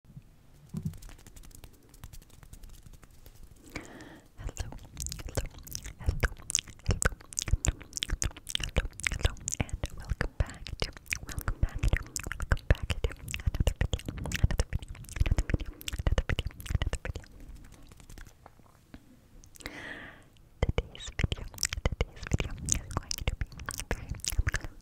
hello, hello, hello, hello, and welcome back welcome back welcome back another video, another video, another video, another video, another video. Today's video, today's video is going to be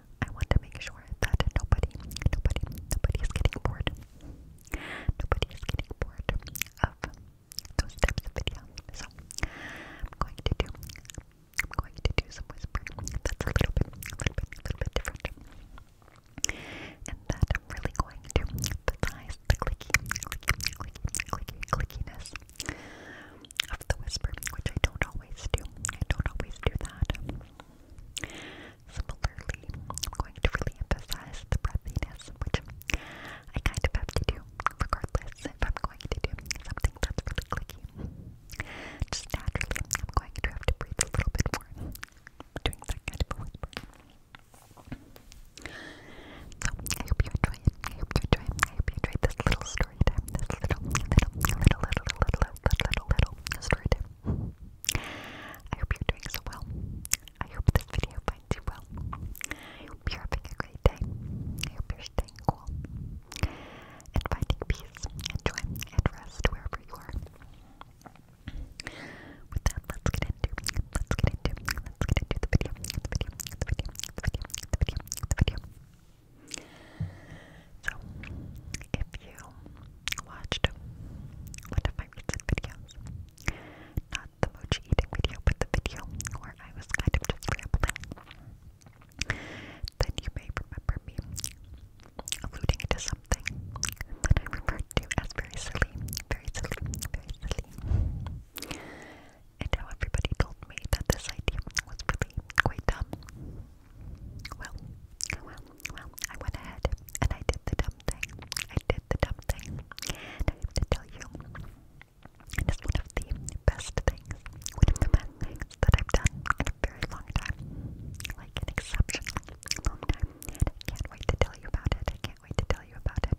I want to make sure that nobody, nobody, nobody is getting bored. Nobody is getting bored of those types of videos. So I'm going to do, I'm going to do some whispering. That's a little bit, little bit, little bit different. And that I'm really going to emphasize the clicky, clicky, clicky, clicky, clickiness of the whisper, which I don't always do. I don't always do that. Similarly, I'm going to really emphasize the breathiness, which I kind of have to do regardless if I'm going to do something that's really clicky. Just naturally, I'm going to have to breathe a little bit more doing that kind of a whisper. So, I hope you enjoy it. I hope you enjoy it. I hope you enjoyed this little story time. This little, little, little, little, little, little, little, little, little story time. I hope you're doing so well. I hope this video finds you well. I hope you're having a great day. I hope you're staying cool and finding peace and joy and rest wherever you are. With that, let's get into let's get into let's get into the video. The video. The video. The video. The video. The video. So, if you watched one of my recent videos. Not the mochi eating video, but the video where I was kind of just rambling. Then you may remember me alluding to something that I referred to as very silly, very silly, very silly. And how everybody told me that this idea was really quite dumb. Well, well, well, I went ahead and I did the dumb thing. I did the dumb thing. And I have to tell you, it is one of the best things, one of the best things that I've done in a very long time. Like an exceptional long time. And I can't wait to tell you about it. I can't wait to tell you about it.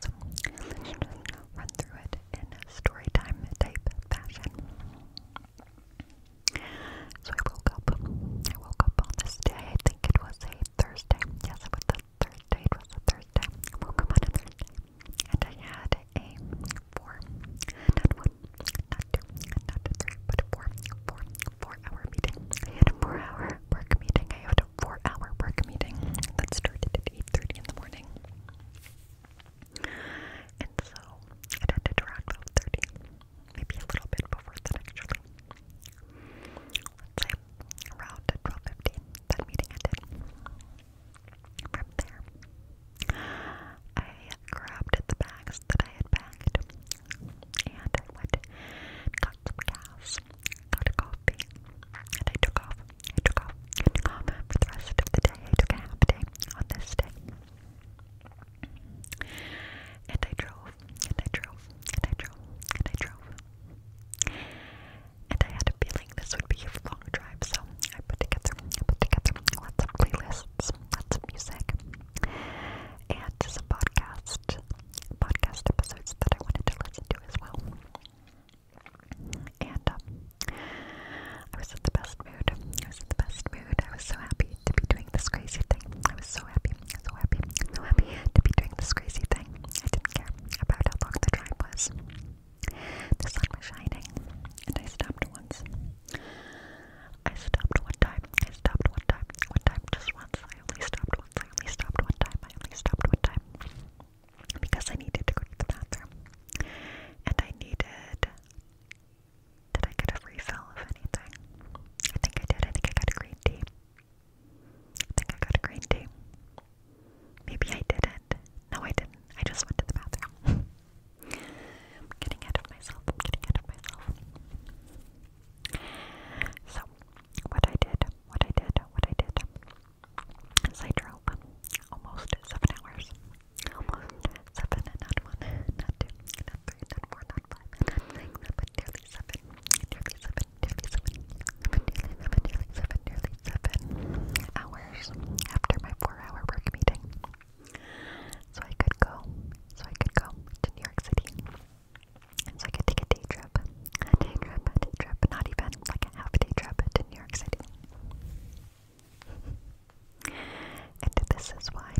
So let's just run through it in story time type fashion. So I woke up. I woke up on this day. I think it was a Thursday. Yes, it was a Thursday. It was a Thursday. I woke up on a Thursday. And I had a four, not one, not two, not three, but four, four, four hour meeting. I had a four hour work meeting. I had a four hour work meeting that started at 8.30 in the morning. And so it ended around 12.30 maybe a little bit before that actually. Let's say around 12.15, that meeting ended. From there, I grabbed the bags that I had packed and went got some gas, got a coffee, and I took off. took off. took off for the rest of the day. I took a half day on this day. And I drove, and I drove, and I drove, and I drove. And I had a feeling this would be a long drive, so I put together, I put together lots of playlists, lots of music, and some podcast, podcast episodes that I wanted to listen to as well. And um, I was in the best mood. I was in the best mood. I was so happy to be doing this crazy thing. I was so happy, so happy, so happy to be doing this crazy thing. I didn't care about how long the drive was. The sun was shining, and I stopped once. I stopped one time. I stopped one time. One time, just once. I only stopped once. I only stopped one time. I only stopped one time because I needed to go to the bathroom, and I needed did I get a refill of anything? I think I did. I think I got a green tea. I think I got a green tea. Maybe I didn't. No, I didn't. I just went to the bathroom. I'm getting out of myself. I'm getting out of myself. So, what I did, what I did, what I did As I drove almost seven hours. Almost seven, not one, not two, not three, not four, not nearly seven, nearly seven, nearly seven, nearly seven, nearly seven, nearly seven hours after my four-hour work meeting. So I could go, so I could go to New York City. And so I could take a day trip, a day trip, a day trip, not even like a half day trip to New York City. and this is why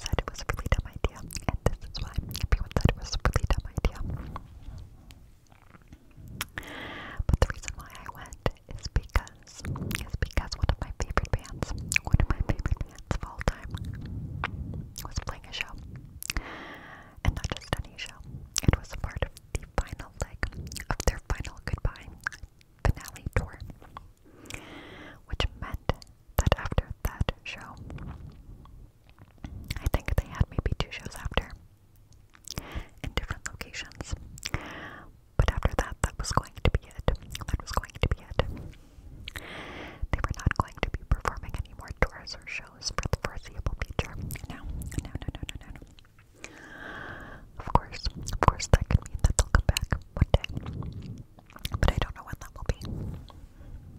said it was a really dumb idea, and this is why everyone said it was a really dumb idea. But the reason why I went is because is because one of my favorite bands, one of my favorite bands of all time, was playing a show, and not just any show. It was a part of the final leg of their final goodbye finale tour, which meant that after that show, I think they had maybe two shows after in different locations. But after that, that was going to be it. That was going to be it. They were not going to be performing any more tours or shows for the foreseeable future. No, no, no, no, no, no, Of course, of course, that could mean that they'll come back one day. But I don't know when that will be.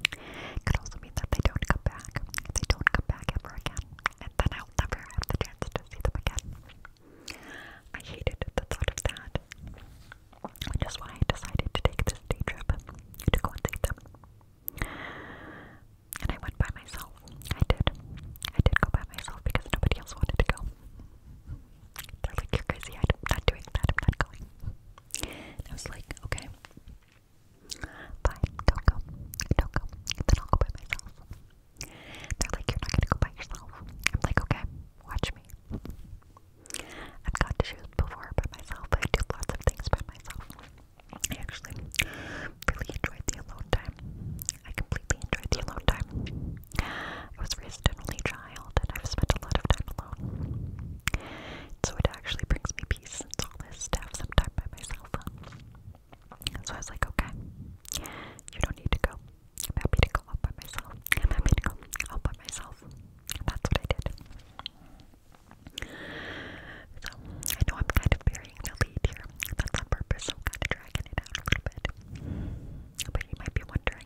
It could also mean that they don't come back. They don't come back ever again. And then I'll never have the chance to see them again. I hated the thought of that. That's why I decided to take this day trip to go and see them. And I went by myself. I did. I did go by myself because nobody else wanted to go. They're like, you're crazy. I'm not doing that. I'm not going. I was like, okay, fine, don't go, don't go. Then I'll go by myself. They're like, you're not gonna go by yourself. I'm like, okay, watch me. I've got to shoot before by myself. I do lots of things by myself. I actually really enjoyed the alone time. I completely enjoyed the alone time. I was raised an and I've spent a lot of time alone. So it actually brings me peace to have some time by myself. So I was like, okay, you don't need to go. I'm happy to go all by myself. I'm happy to go all by myself. And that's what I did. So I know I'm kind of burying the lead here. That's on purpose. I'm kind of dragging it out a little bit. But you might be wondering,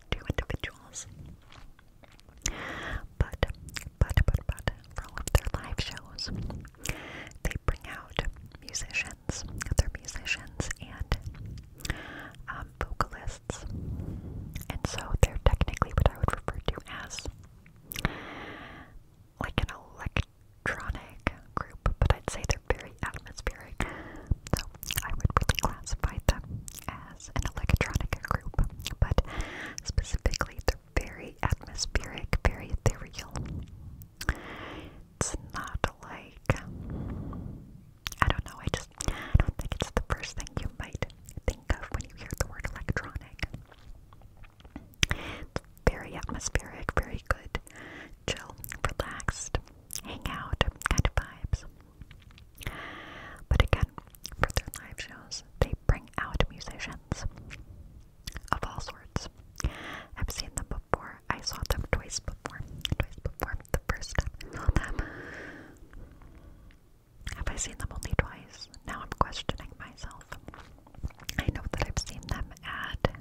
two individuals. But, but, but, but, for all of their live shows, they bring out musicians, other musicians, and um, vocalists. And so they're technically what I would refer to as like an electronic group, but I'd say they're very atmospheric, so I would really classify them as an electronic group, but specifically they're very atmospheric, very ethereal. It's not like I don't know, I just I don't think it's the first thing you might think of when you hear the word electronic. very atmospheric, very good, chill, relaxed, hang kind of vibes. But again, for their live shows, they bring out musicians of all sorts. I've seen them before. I saw them twice before. Twice before. The first time I saw them. Have I seen them only twice? Now I'm questioning myself. I know that I've seen them at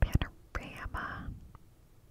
Panorama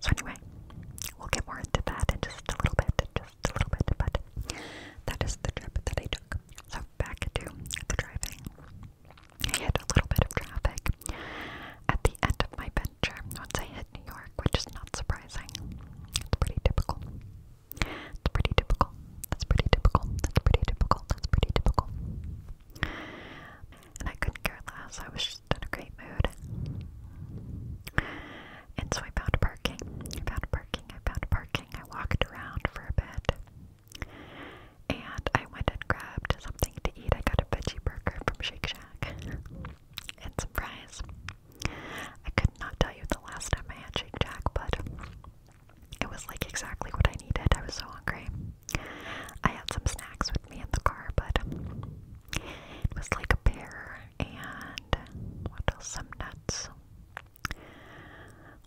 So anyway, we'll get more into that in just a little bit, just a little bit, but that is the trip that I took. So back to the driving. hit a little bit of traffic at the end of my venture once I hit New York, which is not surprising. It's pretty typical. It's pretty typical. That's pretty typical. That's pretty typical. That's pretty typical. And I couldn't care less. I was in a great mood. And so I found parking. I found parking. I found parking. I walked around for a bit. And I went and grabbed something to eat. I got a veggie burger from Shake Shack. and some fries. I could not tell you the last time I had Shake Shack, but it was like exactly what I needed. I was so hungry. I had some snacks with me in the car, but it was like a pear and what else? Some nuts.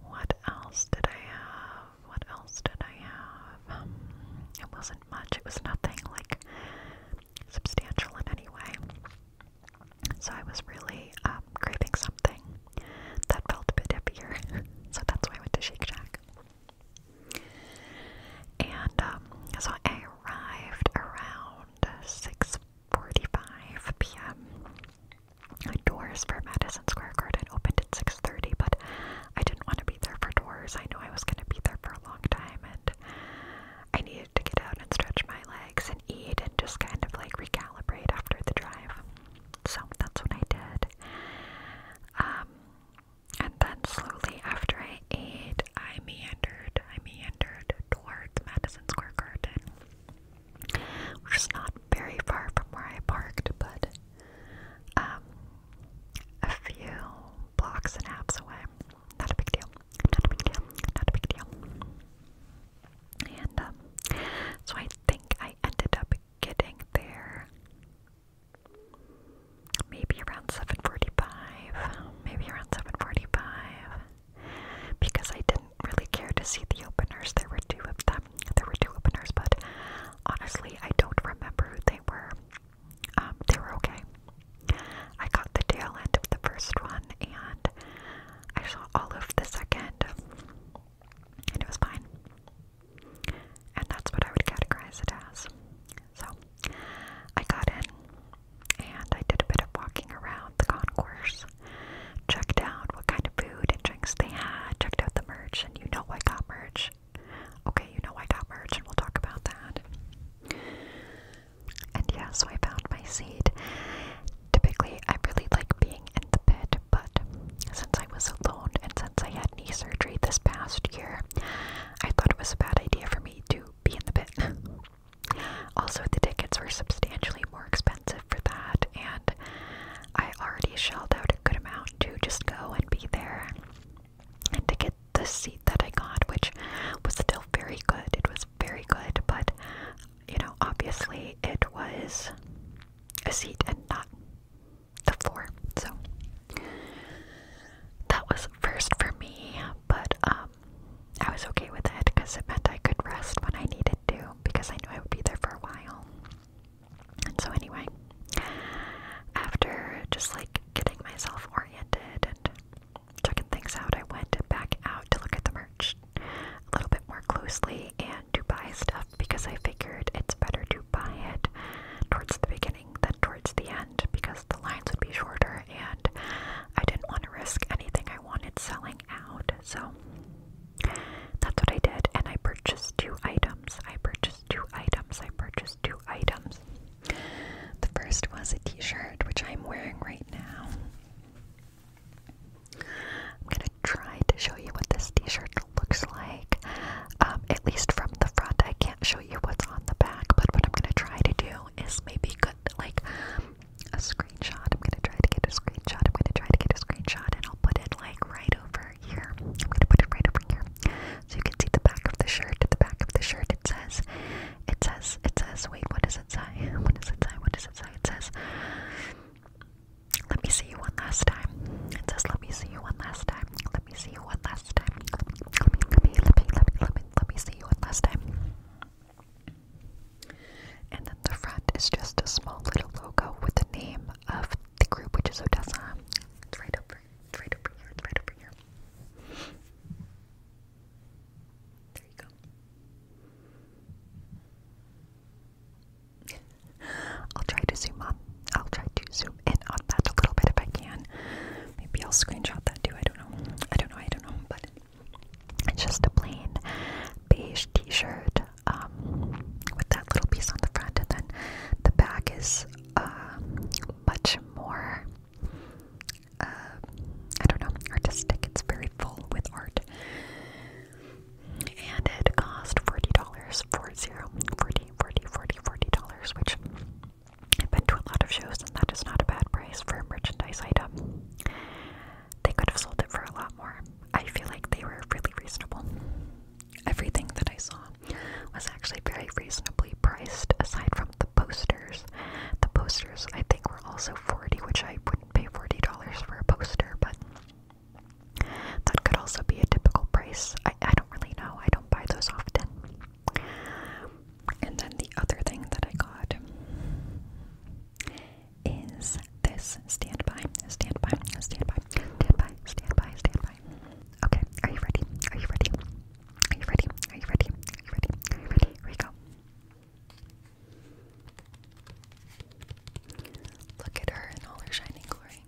What else did I have? What else did I have? it wasn't much. It was nothing like substantial in any way. So I was really um, craving something that felt a bit hippier. so that's why I went to Shake Shack. And um, so I arrived around 6:45 p.m. Doors for Madison Square Garden opened at 6:30, but I didn't want to be there for doors. I knew I was going to be there for a long time, and I needed to get out and stretch my legs and eat and just kind of like recalibrate after the drive. So that's what I did. Um, and then slowly after I ate, I meandered, I meandered towards Madison Square Garden, which is not very far from where I parked, but um, a few blocks and apps away. Not a big deal. Not a big deal. Not a big deal. And um, so I think I ended up getting there maybe around 7:45, maybe around 7:45, because I didn't really care to see the openers. There were two of them. There were two openers, but honestly, I don't remember who they were. Um, they were okay. I got the tail end of the first one, and I saw all of the second, and it was fine. And that's what I would categorize it as. So I got in and I did a bit of walking around the concourse, checked out what kind of food and drinks they had, checked out the merch, and you know I got merch. Okay, you know I got merch, and we'll talk about that. And yeah, so I found my seat. Typically, I really like being in the bed, but since I was alone and since I had knee surgery this past year, I thought it was a bad idea for me to be in the pit. also, the tickets were substantially more expensive for that, and I already shelled out a good amount to just go and be there and to get the seat that I got, which was still very good. It was very good, but you know, obviously, it was a seat and not the floor. So, that was first for me, but um, I was okay with it because it meant I could rest when I needed to because I knew I would be there for a while. And so, anyway, after just like getting myself oriented and checking things out, I went back out to look at the merch a little bit more closely and to buy stuff because I figured it's better to buy it towards the beginning morning towards the end because the lines would be shorter and I didn't want to risk anything I wanted selling out. So that's what I did. And I purchased two items. I purchased two items. I purchased two items. The first was a t shirt, which I'm wearing right now. I'm gonna try to show you what this t-shirt looks like, um, at least from the front. I can't show you what's on the back, but what I'm gonna try to do know is maybe good, like a screenshot. I'm gonna try to get a screenshot. I'm gonna try to get a screenshot, and I'll put it like right over here. I'm gonna put it right over here, so you can see the back of the shirt. At the back of the shirt, it says, it says, it says. Wait, what does it say? What does it say? What does it say? It says. Let me see you one last time. It says, "Let me see you one last time. Let me see you one let me, let me, let me, let me, let me, let me see you one last time. And then the front is just a small little logo with the name of the group, which is Odessa. It's right over, it's right over here, it's right over here. There you go. I'll try to zoom up. I'll try to zoom in on that a little bit if I can. Maybe I'll screenshot that too don't know. I don't know. I don't know. But it's just a plain beige T-shirt um, with that little piece on the front, and then the back is um, much more. Uh, I don't know, artistic. It's very full with art, and it cost forty dollars for zero, forty, forty, forty, forty dollars, which I've been to a lot of shows, and that is not a bad price for a merchandise item. They could have sold it for a lot more. I feel like they were really reasonable. Everything that I saw was actually very reasonably priced, aside from the posters. The posters, I think, were also 40 which I wouldn't pay $40 for a poster, but that could also be a typical price. I, I don't really know. I don't buy those often. And then the other thing that I got is this standby, standby, standby, standby, standby, standby. Okay, are you ready? Are you ready? Are you ready? Are you ready? Are you ready? Are you ready? Here we go. Look at her in all her shining glory.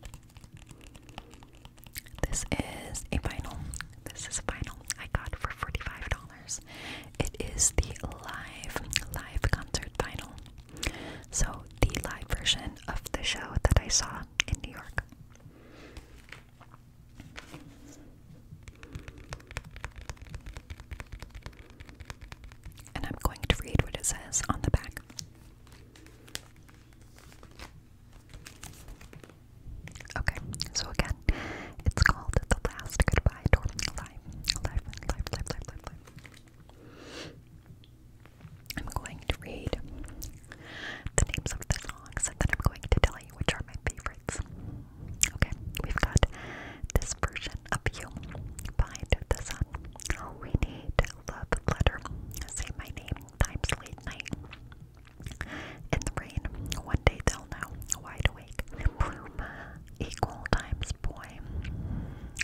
This is a vinyl. This is vinyl I got for $45. It is the live, live concert vinyl. So, the live version of the show that I saw in New York. And I'm going to read what it says on the back. Okay, so again, it's called The Last Goodbye Door. Live, live, live, live, live, live, live. I'm going to read the names of the songs and then I'm going to tell you which are my favorites. Okay, we've got this version of You, Find the Sun, We Need Love Letter, Say My Name, Times Late Night, in the rain, one day they'll know, wide awake, bloom, equal times boy.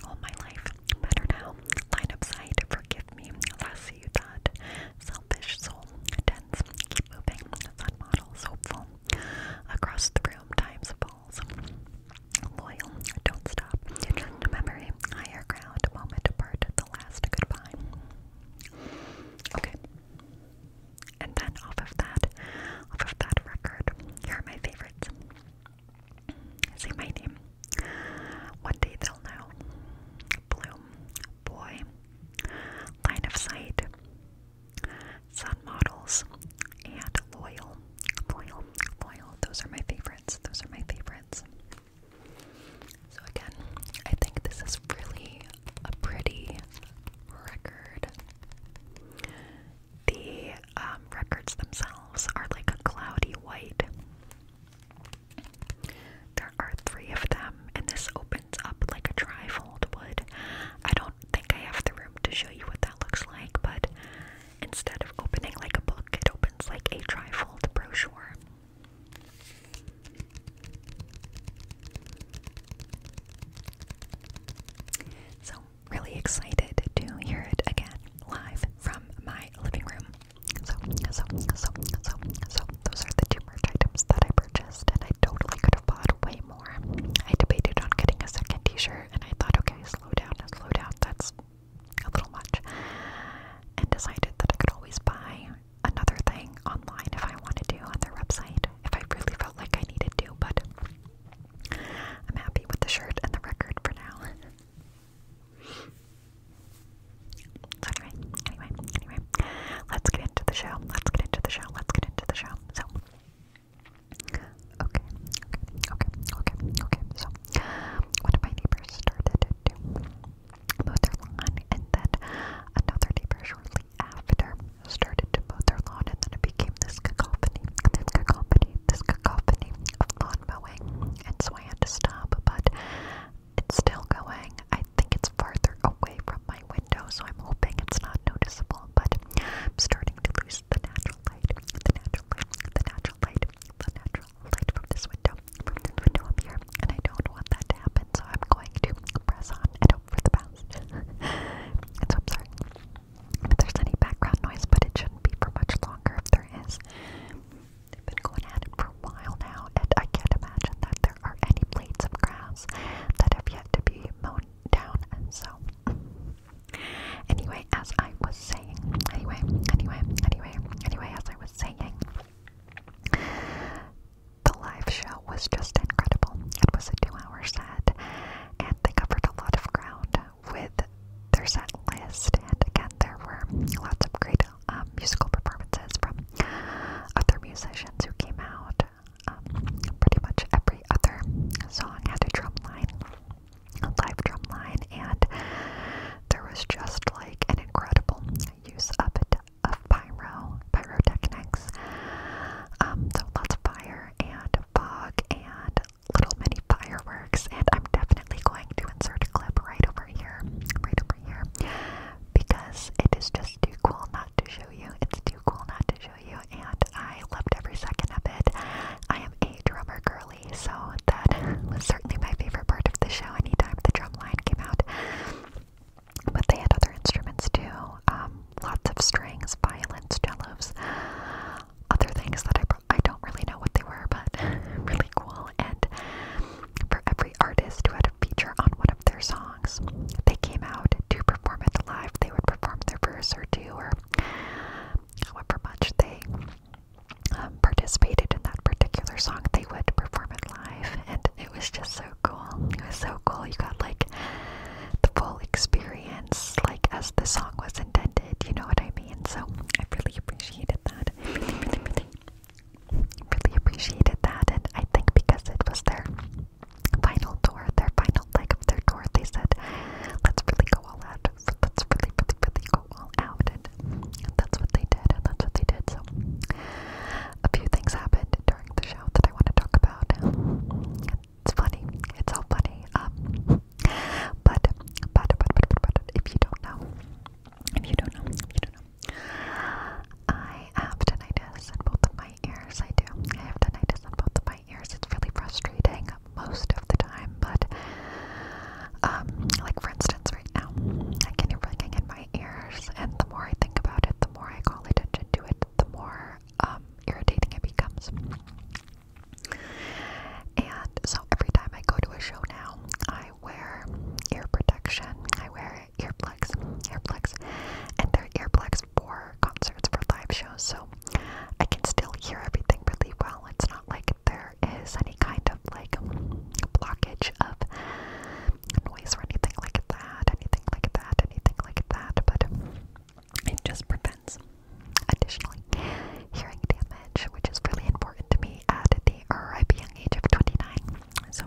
All my life, better now, line up side, forgive me, lassie you thought. Selfish soul, dense, keep moving, sun models, hopeful. Across the room, times falls. Loyal, don't stop. Just memory, higher ground, moment apart, the last goodbye. Okay. And then off of that, off of that record, here are my favorites. Say my name. One day they'll know. Bloom, boy, line of sight, sun models, and loyal, loyal, loyal. Those are my favorites. Those are my favorites. So again, I think this is really a pretty record. The um, records themselves are like a cloudy white. There are three of them, and this opens up like a trifold would. I don't think I have the room to show you what that looks like, but instead of opening like a book, it opens like a trifold brochure. So, really excited to hear it again live from my living room. So, so, so, so, so, those are the two merch items that I purchased, and I totally could have bought way more. I debated on getting a second t shirt, and I thought, okay, slow down, slow down, that's a little much. And decided that I could always buy another thing online if I wanted to on their website if I really felt like I needed to, but I'm happy with the shirt and the record for now. so anyway, anyway, anyway, let's get into the show. Let's get into the show. Let's get into the show. So okay, okay, okay, okay, okay. So one of my neighbors started to mow their lawn and then another neighbor shortly after started to mow their lawn, and then it became this cacophony, this cacophony, this cacophony of lawn mowing, and so I had to stop, but it's still going. I think it's farther away from my window, so I'm hoping it's not noticeable, but starting to lose the natural light, the natural light, the natural light, the natural light from this window, from this window up here, and I don't want that to happen, so I'm going to press on and hope for the best. I'm sorry if there's any background noise, but it shouldn't be for much longer if there is. They've been going at it for a while now, and I can't imagine that there are any blades of grass that have yet to be mown down, and so. Anyway, as I was saying, anyway, anyway, anyway, anyway, as I was saying, the live show was just incredible. It was a two hour set, and they covered a lot of ground with their set list. And again, there were lots of great um, musical performances from other musicians who came out. Um, pretty much every other song had a drum line, a live drum line, and there was just like an incredible use of it of pyro, pyrotechnics. Um, so lots of fire and fog and little mini fireworks, and I'm definitely going to insert a clip right over here, right over here, because it is just too cool not to show you. It's too cool not to show you, and I loved every second of it. I am a drummer girly, so that was certainly my favorite part of the show. Anytime the drum line came out, but they had other instruments too um, lots of strings, violins, cellos, other things that I, I don't really know what they were, but really cool. And for every artist who had a feature on one of their songs, they came out to perform it live. They would perform their verse or two, or however much they um, participated in that particular song, they would perform it live. And it was just so so cool. It was so cool. You got like the full experience, like as the song was intended. You know what I mean? So I really appreciated that. really, appreciated that. And I think because it was their final tour, their final leg of their tour, they said, "Let's really go all out. Let's really, really, really go all out." and that's what they did. And that's what they did. So a few things happened during the show that I want to talk about. It's funny. It's all funny. Um, but, but, but, but, but, but, if you don't know, if you don't know, if you don't know, I have tinnitus in both of my ears. I do. I have tinnitus in both of my ears. It's really frustrating most of the time, but, um, like for instance, right now, I can hear ringing in my ears, and the more I think about it, the more I call attention to it, the more um, irritating it becomes. And so every time I go to a show now, I wear ear protection. I wear earplugs, earplugs, and they're earplugs for concerts, for live shows. So I can still hear everything really well. It's not like there is any kind of like blockage of noise or anything like that, anything like that, anything like that, but it just prevents, additionally, hearing damage, which is really important to me at the ripe young age of 29. So,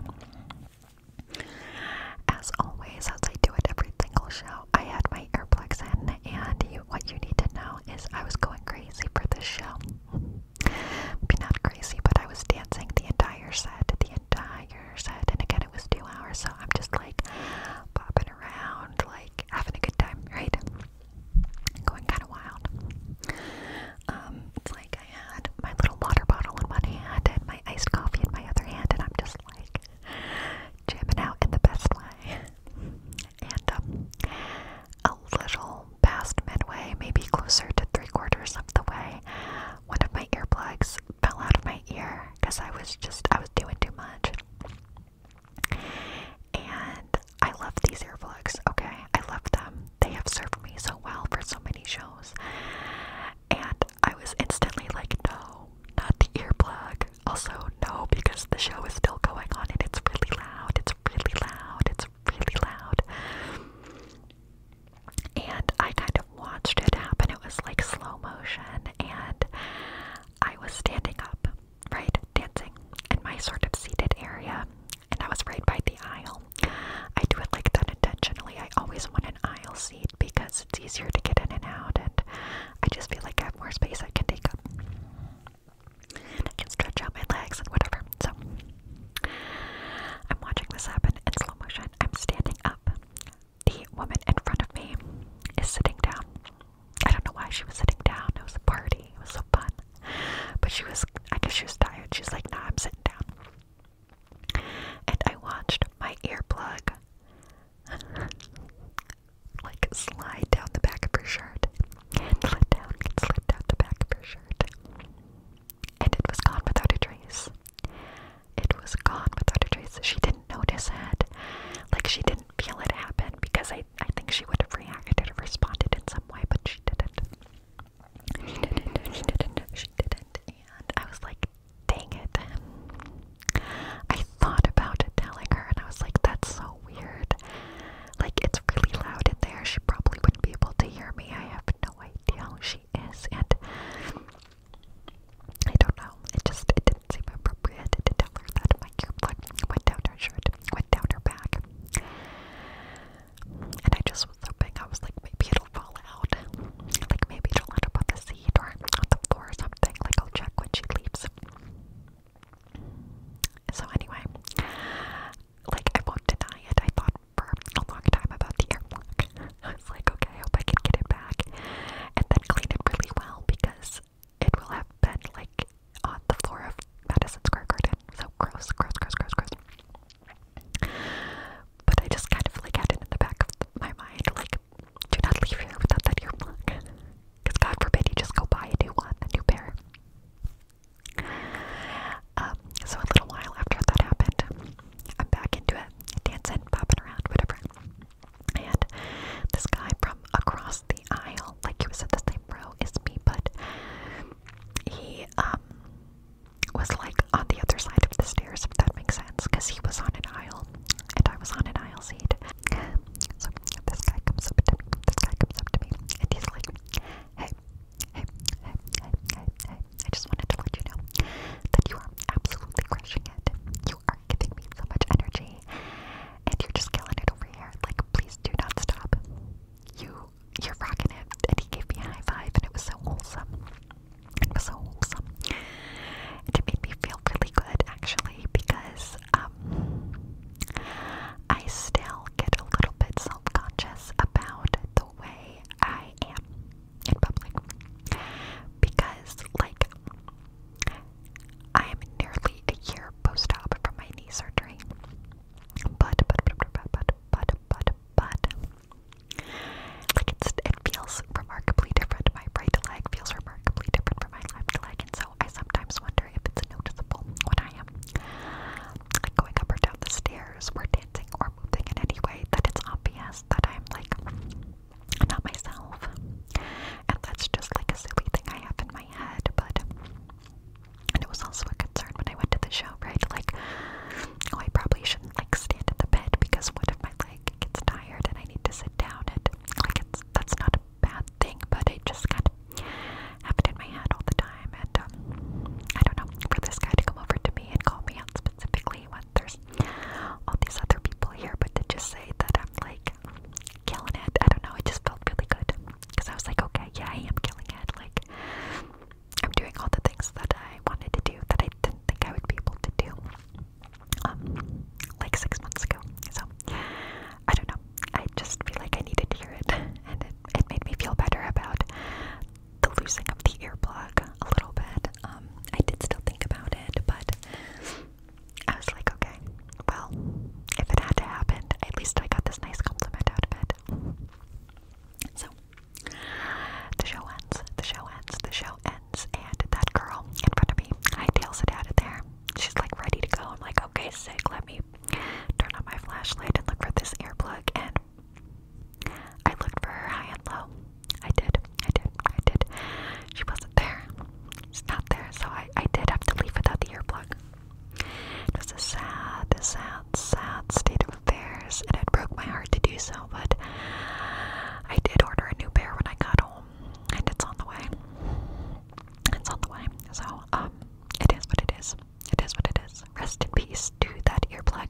as always, as I do it every single show, I had my earplugs in, and what you need to know is I was going crazy for this show. not crazy, but I was dancing the entire set, the entire and again, it was two hours, so I'm just like popping around, like having a good time, right? Going kind of wild. Um, it's like I had my little water bottle in one hand and my iced coffee in my other hand, and I'm just like jamming out in the best way. And um, a little past midway, maybe closer to three quarters of the way, one of my earplugs fell out of my ear because I was just, I was doing too much. And I love these earplugs, okay? I love them. They have served me so well for so many shows. And I was instantly like, no, not the earplug. Also, no, because the show is still going on and it's really loud. It's really loud. It's really loud and I kind of watched it happen. It was like slow motion, and I was standing up, right, dancing in my sort of seated area, and I was right by the aisle. I do it like that intentionally. I always want an aisle seat because it's easier to get in and out, and I just feel like I have more space I can take up. And I can stretch out my legs and whatever. So I'm watching this happen in slow motion. I'm standing up the woman in front of me is sitting down. I don't know why she was sitting down. It was a party. It was so fun. But she was, I guess she was tired. She's like, "No, I'm sitting down. And I watched my earplug like slide down the back of her shirt. And slid down, slid down the back of her shirt. And it was gone without a trace. It was gone without a trace. She didn't notice it. Like she didn't feel it happen because I, I think she would have reacted or responded in some way, but she didn't. She didn't, she didn't, she didn't. And I was like, dang it. I thought about telling her and I was like, that's so weird. Like, it's really loud in there. She probably wouldn't be able to hear me. I have no idea who she is. And I don't know. It just it didn't seem appropriate to tell her that my earbud went down her shirt, went down her back. And I just was hoping I was like maybe it'll fall out. Like maybe it'll end up on the seat or on the floor or something. Like I'll check when she leaves. So anyway, like I won't deny it. I thought for a long time about the earplug. I was like, okay, hope I can get it back. And then clean it really well because it will have been like on the floor of Madison Square Garden. So gross, gross, gross, gross, gross. But I just kind of like had it in the back of my mind, like, do not leave here without that earplug. Because God forbid you just go buy a new one, new pair. Um, so a little while after that happened, I'm back into it, dancing, popping around, whatever. And this guy from across the aisle, like he was at the same row as me, but he um, was like on the other side of the stairs, if that makes sense, because he was on an aisle and I was on an aisle seat. So this guy comes up to me, this guy comes up to me, and he's like, hey, hey, hey, hey, hey, I just wanted to let you know that you are absolutely crushing it. You are giving me so much energy, and you're just killing it over here. Like, please do not stop. You, you're rocking it. And he gave me a high five, and it was so wholesome. It was so wholesome. And it made me feel really good, actually, because um, I still get a little bit self conscious about the way I am in public because, like, I am nearly a year post-op from my knee surgery. But, but, but, but, but, but, but, like, it's, it feels remarkably different. My right leg feels remarkably different from my left leg, and so I sometimes wonder if it's noticeable when I am like going up or down the stairs, or dancing, or moving in any way that it's obvious that I'm like not myself. And that's just like a silly thing I have in my head, but and it was also a concern when I went to the show, right? Like, oh, I probably shouldn't like stand in the bed because what if my leg gets tired and I need to sit down? And like, it's that's not a bad thing, but it just kind of happened in my head all the time. And um, I don't know for this guy to come over to me and call me out specifically when there's all these other people here, but to just say that I'm like killing it, I don't know, it just felt really good because I was like, okay, yeah, I am killing it. Like, I'm doing all the things that I wanted to do that I didn't think I would be able to do um, like six months ago. So, I don't know, I just feel like I needed to hear it, and it, it made me feel better about the losing of the earplug a little bit. Um, I did still think about it, but I was like, okay, well, if it had to happen, at least I got this nice compliment out of it. So, the show ends, the show ends, the show ends, and that girl in front of me I hightails it out of there. She's like ready to go. I'm like, okay, sick, let me turn on my flashlight and look for this earplug. And I looked for her high and low. I did. I did. I did. She wasn't there. It's not there, so I, I did have to leave without the earplug. It was a sad, sad, sad state of affairs, and it broke my heart to do so, but I did order a new pair when I got home, and it's on the way. It's on the way. So, um, it is what it is. It is what it is. Rest in peace to that earplug.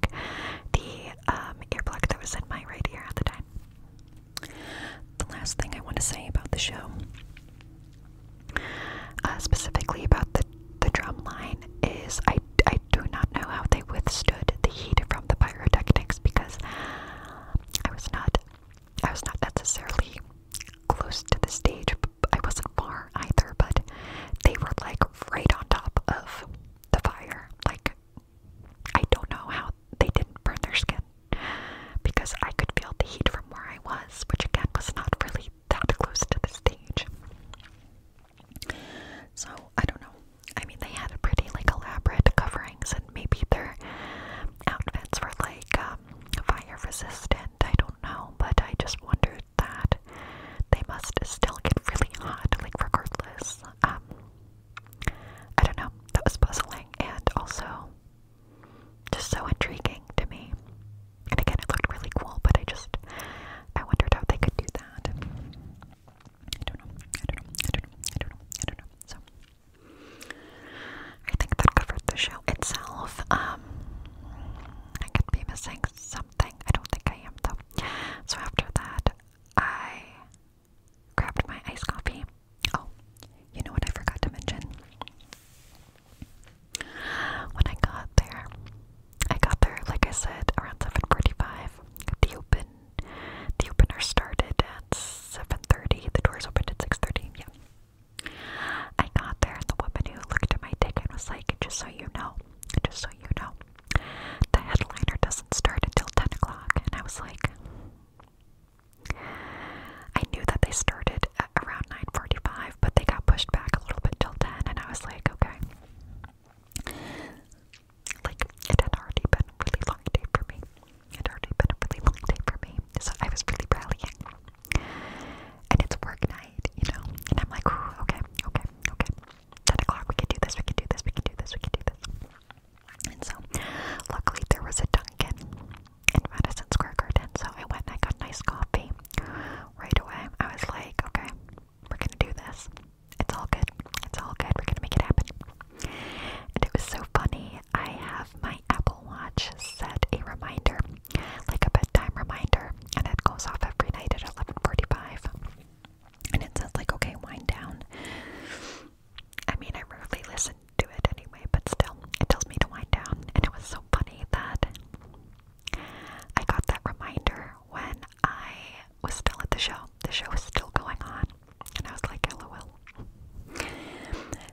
The um earplug that was in my right ear at the time. The last thing I want to say about the show, uh, specifically about the the drum line, is I I do not know how they withstood the heat from the pyrotechnics because I was not I was not necessarily close to the stage. I wasn't far either, but they were like right on top of the fire, like I don't know how they didn't burn their skin because I could feel the heat from where I was, which again was not really that close to the stage. So I don't know. I mean, they had pretty like elaborate coverings, and maybe their outfits were like um, fire resistant. I don't know, but I just wondered that they must still get really hot, like regardless. Um, I don't know. That was puzzling and also just so intriguing to me. And again, it looked really cool, but I just I wondered how they could do that. I don't know. I don't know. I don't know. I don't know. I don't know. So I think that covered the show itself. Um, I could be missing something. I don't think I am though. So after that, I grabbed my iced coffee. Oh, you know what I forgot to mention? When I got there, I got there, like I said, around 7.45. The open, the opener started at 7.30. The doors opened at 6.30, yeah. I got there and the woman who looked at my ticket was like, just so you know, just so you know, the headliner doesn't start until 10 o'clock. And I was like, I knew that they started around 9:45, but they got pushed back a little bit till 10, and I was like, okay. Like it had already been a really long day for me. It had already been a really long day for me, so I was really rallying. And it's work night, you know. And I'm like, okay, okay, okay. Ten o'clock, we can do this, we can do this, we can do this, we can do this. And so, luckily, there was a Dunkin' in Madison Square Garden, so I went and I got nice coffee right away. I was like, okay, we're gonna do this. It's all good. It's all good. We're gonna make it happen. And it was so funny. I have my Apple Watch set a reminder, like a bedtime reminder, and it goes off every night at 11:45. And it says like, okay, wind down. I mean, I rarely listen to it anyway, but still, it tells me to wind down. And it was so funny that I got that reminder when I was still at the show. The show was still going on, and I was like, lol.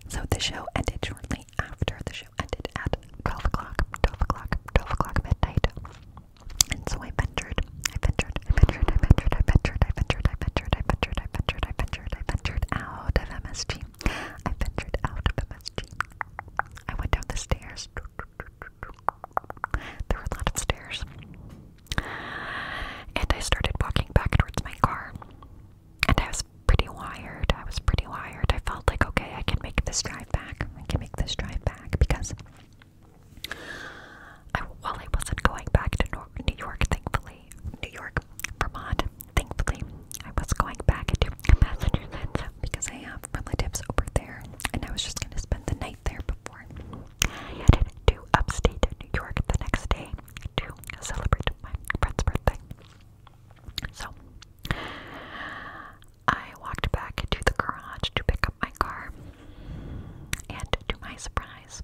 So the show ended shortly after. The show ended at 12 o'clock, 12 o'clock, 12 o'clock midnight. And so I ventured, I ventured, I ventured, I ventured, I ventured, I ventured, I ventured, I ventured, I ventured, I ventured, I ventured out of MSG. I ventured out of MSG. I went down the stairs. There were a of stairs. And I started walking back towards my car. And I was pretty wired. I was pretty wired. I felt like, okay, I can make this drive back. I can make this drive back because I, I wasn't going back to New York, thankfully. New York, Vermont, thankfully. I was going back into Massachusetts because I have relatives over there, and I was just going to spend the night there before I headed to upstate New York the next day to celebrate my friend's birthday. So, I walked back to the garage to pick up my car, and to my surprise,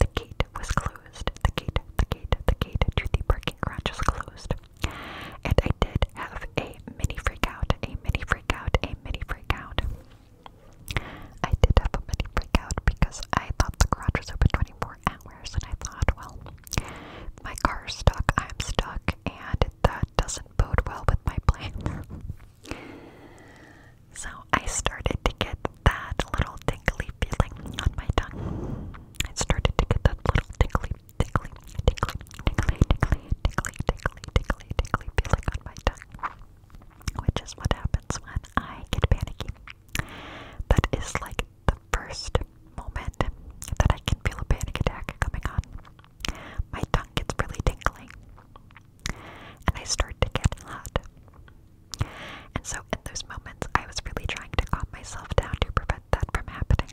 the gate was closed. The gate, the gate, the gate to the parking garage was closed. And I did have a mini freak out, a mini freak out, a mini freak out. I did have a mini freak out because I thought the garage was open 24 hours and I thought, well, my car's stuck, I'm stuck, and that doesn't bode well with my plan. So I started to get that little tingly feeling on my tongue. I started to get that little tingly, tingly, tingly, tingly, tingly, tingly, tingly, tingly, tingly feeling on my tongue. Which is what happens when I get panicky. That is like the first moment that I can feel a panic attack coming on. My tongue gets really tingling. And I start to get hot. And so, in those moments, I was really trying to calm myself down to prevent that from happening.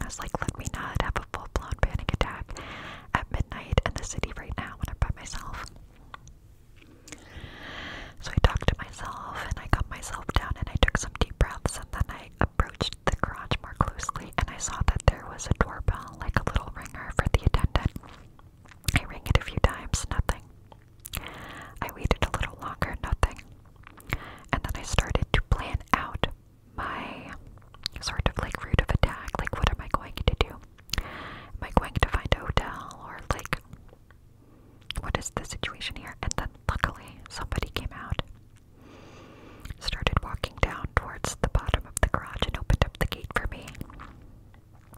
I was like, let me not have a full blown panic attack at midnight in the city right now when I'm by myself. So I talked to myself and I calmed myself down and I took some deep breaths and then I approached the garage more closely and I saw that there was a doorbell, like a little ringer for the attendant. I rang it a few times, nothing. I waited a little longer, nothing. And then I started to plan out my sort of like route of attack. Like, what am I going to do? Am I going to find a hotel? Or, like, what is the situation here? And then, luckily, somebody came out, started walking down towards the bottom of the garage, and opened up the gate for me.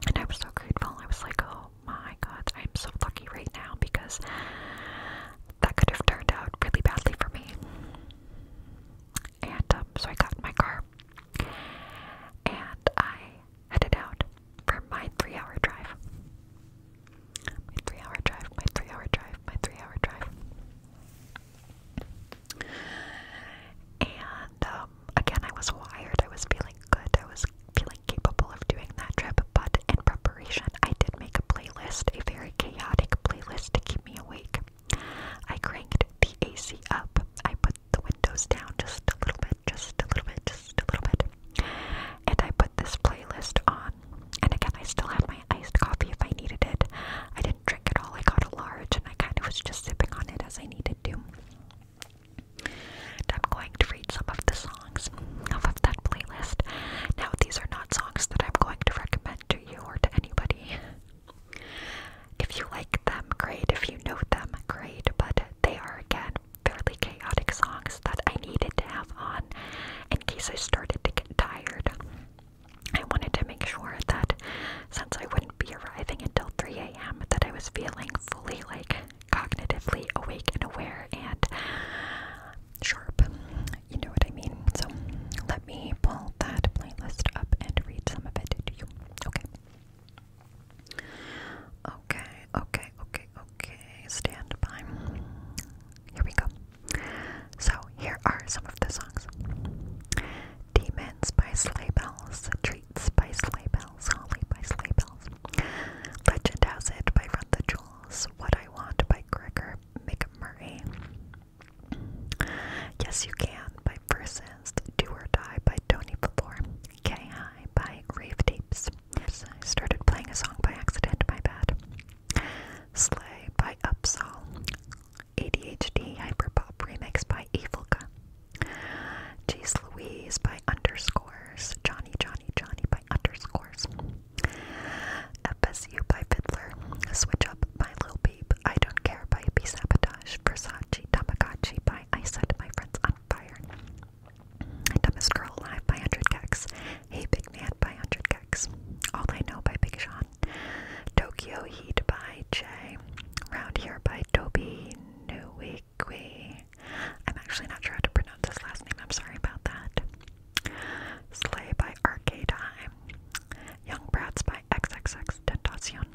And I was so grateful. I was like, oh my god, I'm so lucky right now because that could have turned out really badly for me. And um, so I got my car and I headed out for my three hour drive. My three hour drive, my three hour drive, my three hour drive. And um, again, I was wired, I was feeling good, I was feeling capable of doing that trip, but in preparation, I did make a playlist, a very chaotic playlist to keep me awake. I cranked the AC up, I put the windows down just a little bit, just a little bit, just a little bit, and I put this playlist on. And again, I still had my iced coffee if I needed it. I didn't drink it all, I got a large, and I kind of was just sipping on it as I needed to. I'm going to read some of the songs off of that playlist. Now, these are not songs that I'm going to recommend to you or to anybody. If you like them, great. If you know them, great. But they are, again, fairly chaotic songs that I needed to have on in case I started to get tired. I wanted to make sure that since I wouldn't be arriving until 3 a.m., that I was feeling fully like cognitively awake and aware and sharp. You know what I mean? So let me pull that playlist up and read some of it to you. Okay. Okay, okay, okay, okay. Stand by. Here we go. So, here are some of the songs Demons by Sleigh Bells, Streets by Sleigh Bells, Holly by Sleigh Bells, Legend Has It by Run the Jewels, What I Want by Gregor McMurray, Yes You Can by Versus, Do or Die by Tony Valor, K.I. by Grave Tapes. I started playing a song by accident, my bad. Sleigh by Upsall, ADHD Hyperpop Remix by Evilka, Jeez Louise by underscores. Johnny, Johnny, Johnny by underscores. FSU by Fiddler. Switch Up by little Peep. I Don't Care by P. Sabotage. Versace Tamagachi by I Set My Friends on Fire. Dumbest Girl alive by 100 Gex. Hey Big Man by 100 Gex. All I Know by Big Sean. Tokyo Heat by Jay. Round Here by Toby New week. Slikwe. I'm actually not sure how to pronounce his last name, I'm sorry about that. Slay by Arcade Young Brats by XXX Tentacion.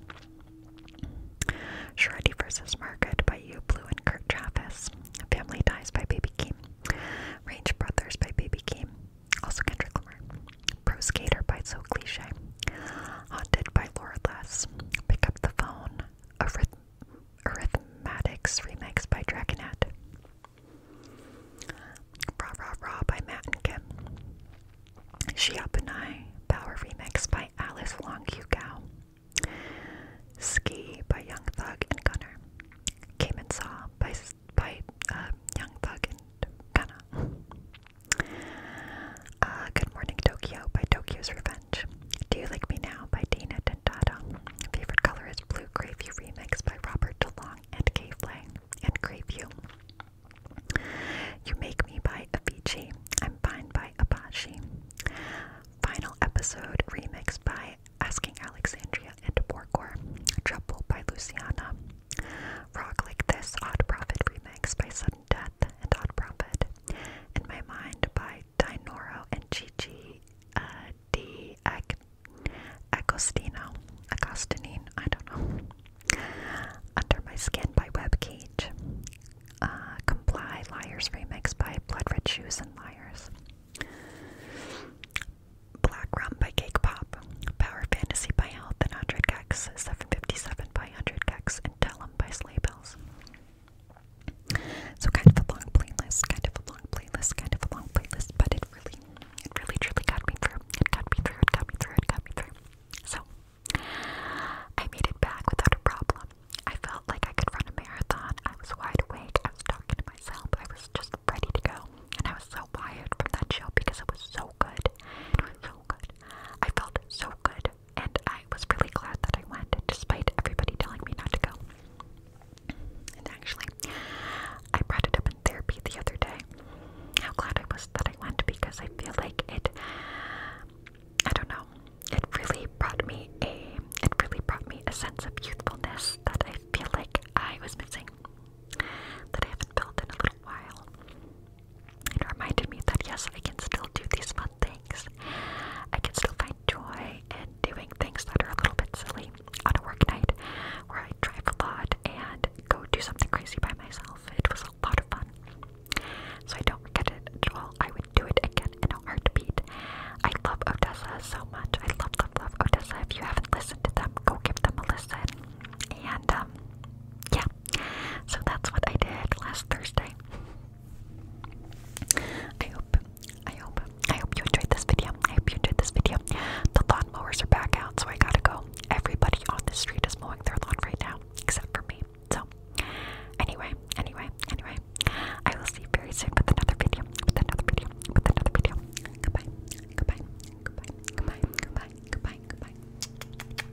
Shreddy vs. Market by You Blue and Kurt Travis. Family Ties by Baby Keem. Range Brothers by Baby Keem. Also Kendrick Lamar. Pro Skater by So Cliche. Haunted by Laura Less. Pick Up the Phone Arith remix by Dragonette. Ra Ra Ra by Matt and Kim. Up and I Power remix by Alice Wong Yu Gao. Ski by Young Thug and Gunner. Came and Saw by, by um, Young Thug and Gunna. Uh, Good Morning Tokyo by Tokyo's Revenge. Do You Like Me Now by Dana Dentata. Favorite Color is Blue you Remix by Robert DeLong and Kay Flay and Grayview. You Make Me by Avicii. I'm Fine by Apache. Final Episode Remix by Asking Alexandria and Borgor. Trouble by Luciana. Rock Like This Odd Profit Remix by Sudden Death and Odd Profit. In My Mind by Dinoro and Gigi uh, Di Ag Agostino, I don't know. Under My Skin by Web Cage. Uh, Comply, Liars Remix by Blood Red Shoes and Liars. Black Rum by Cake Pop. Power Fantasy by Health and 100 Gex. 757 by 100 Gex. And Tell Tellum by Sleigh so kind of a long playlist, kind of a long playlist, kind of a long playlist, but it really, it really truly got me through. It got me through, it got me through, it got me through. So I made it back without a problem. I felt like I could run a marathon. I was wide awake. I was talking to myself. I was just ready to go. And I was so wired from that show because it was so good. It was so good. I felt so good and I was really glad that I went, despite everybody telling me not to go. And actually, I brought it up in therapy the other day. How glad I was that I went because I feel like it, I don't know, it really brought me a, it really brought me a sense of youthfulness that I feel like I was missing, that I haven't built in a little while. It reminded me that yes, I can still do these fun things. I can still find joy in doing things that are a little bit silly on a work night where I drive a lot and go do something crazy by myself. It was a lot of fun. So I don't get it at all. I would do it again in a heartbeat. I love Odessa so much. I love, love, love Odessa. If you haven't listened to them, go give them a listen. And um, yeah. So that's what I did last Thursday. I hope, I hope, I hope you enjoyed this video. I hope you enjoyed this video. The lawn are back out, so I gotta go. Everybody on the street is mowing their lawn right now, except for me. So, anyway, anyway, anyway, I will see very soon with another video, with another video, with another video. Goodbye, goodbye, goodbye, goodbye, goodbye, goodbye, goodbye, goodbye, goodbye. goodbye.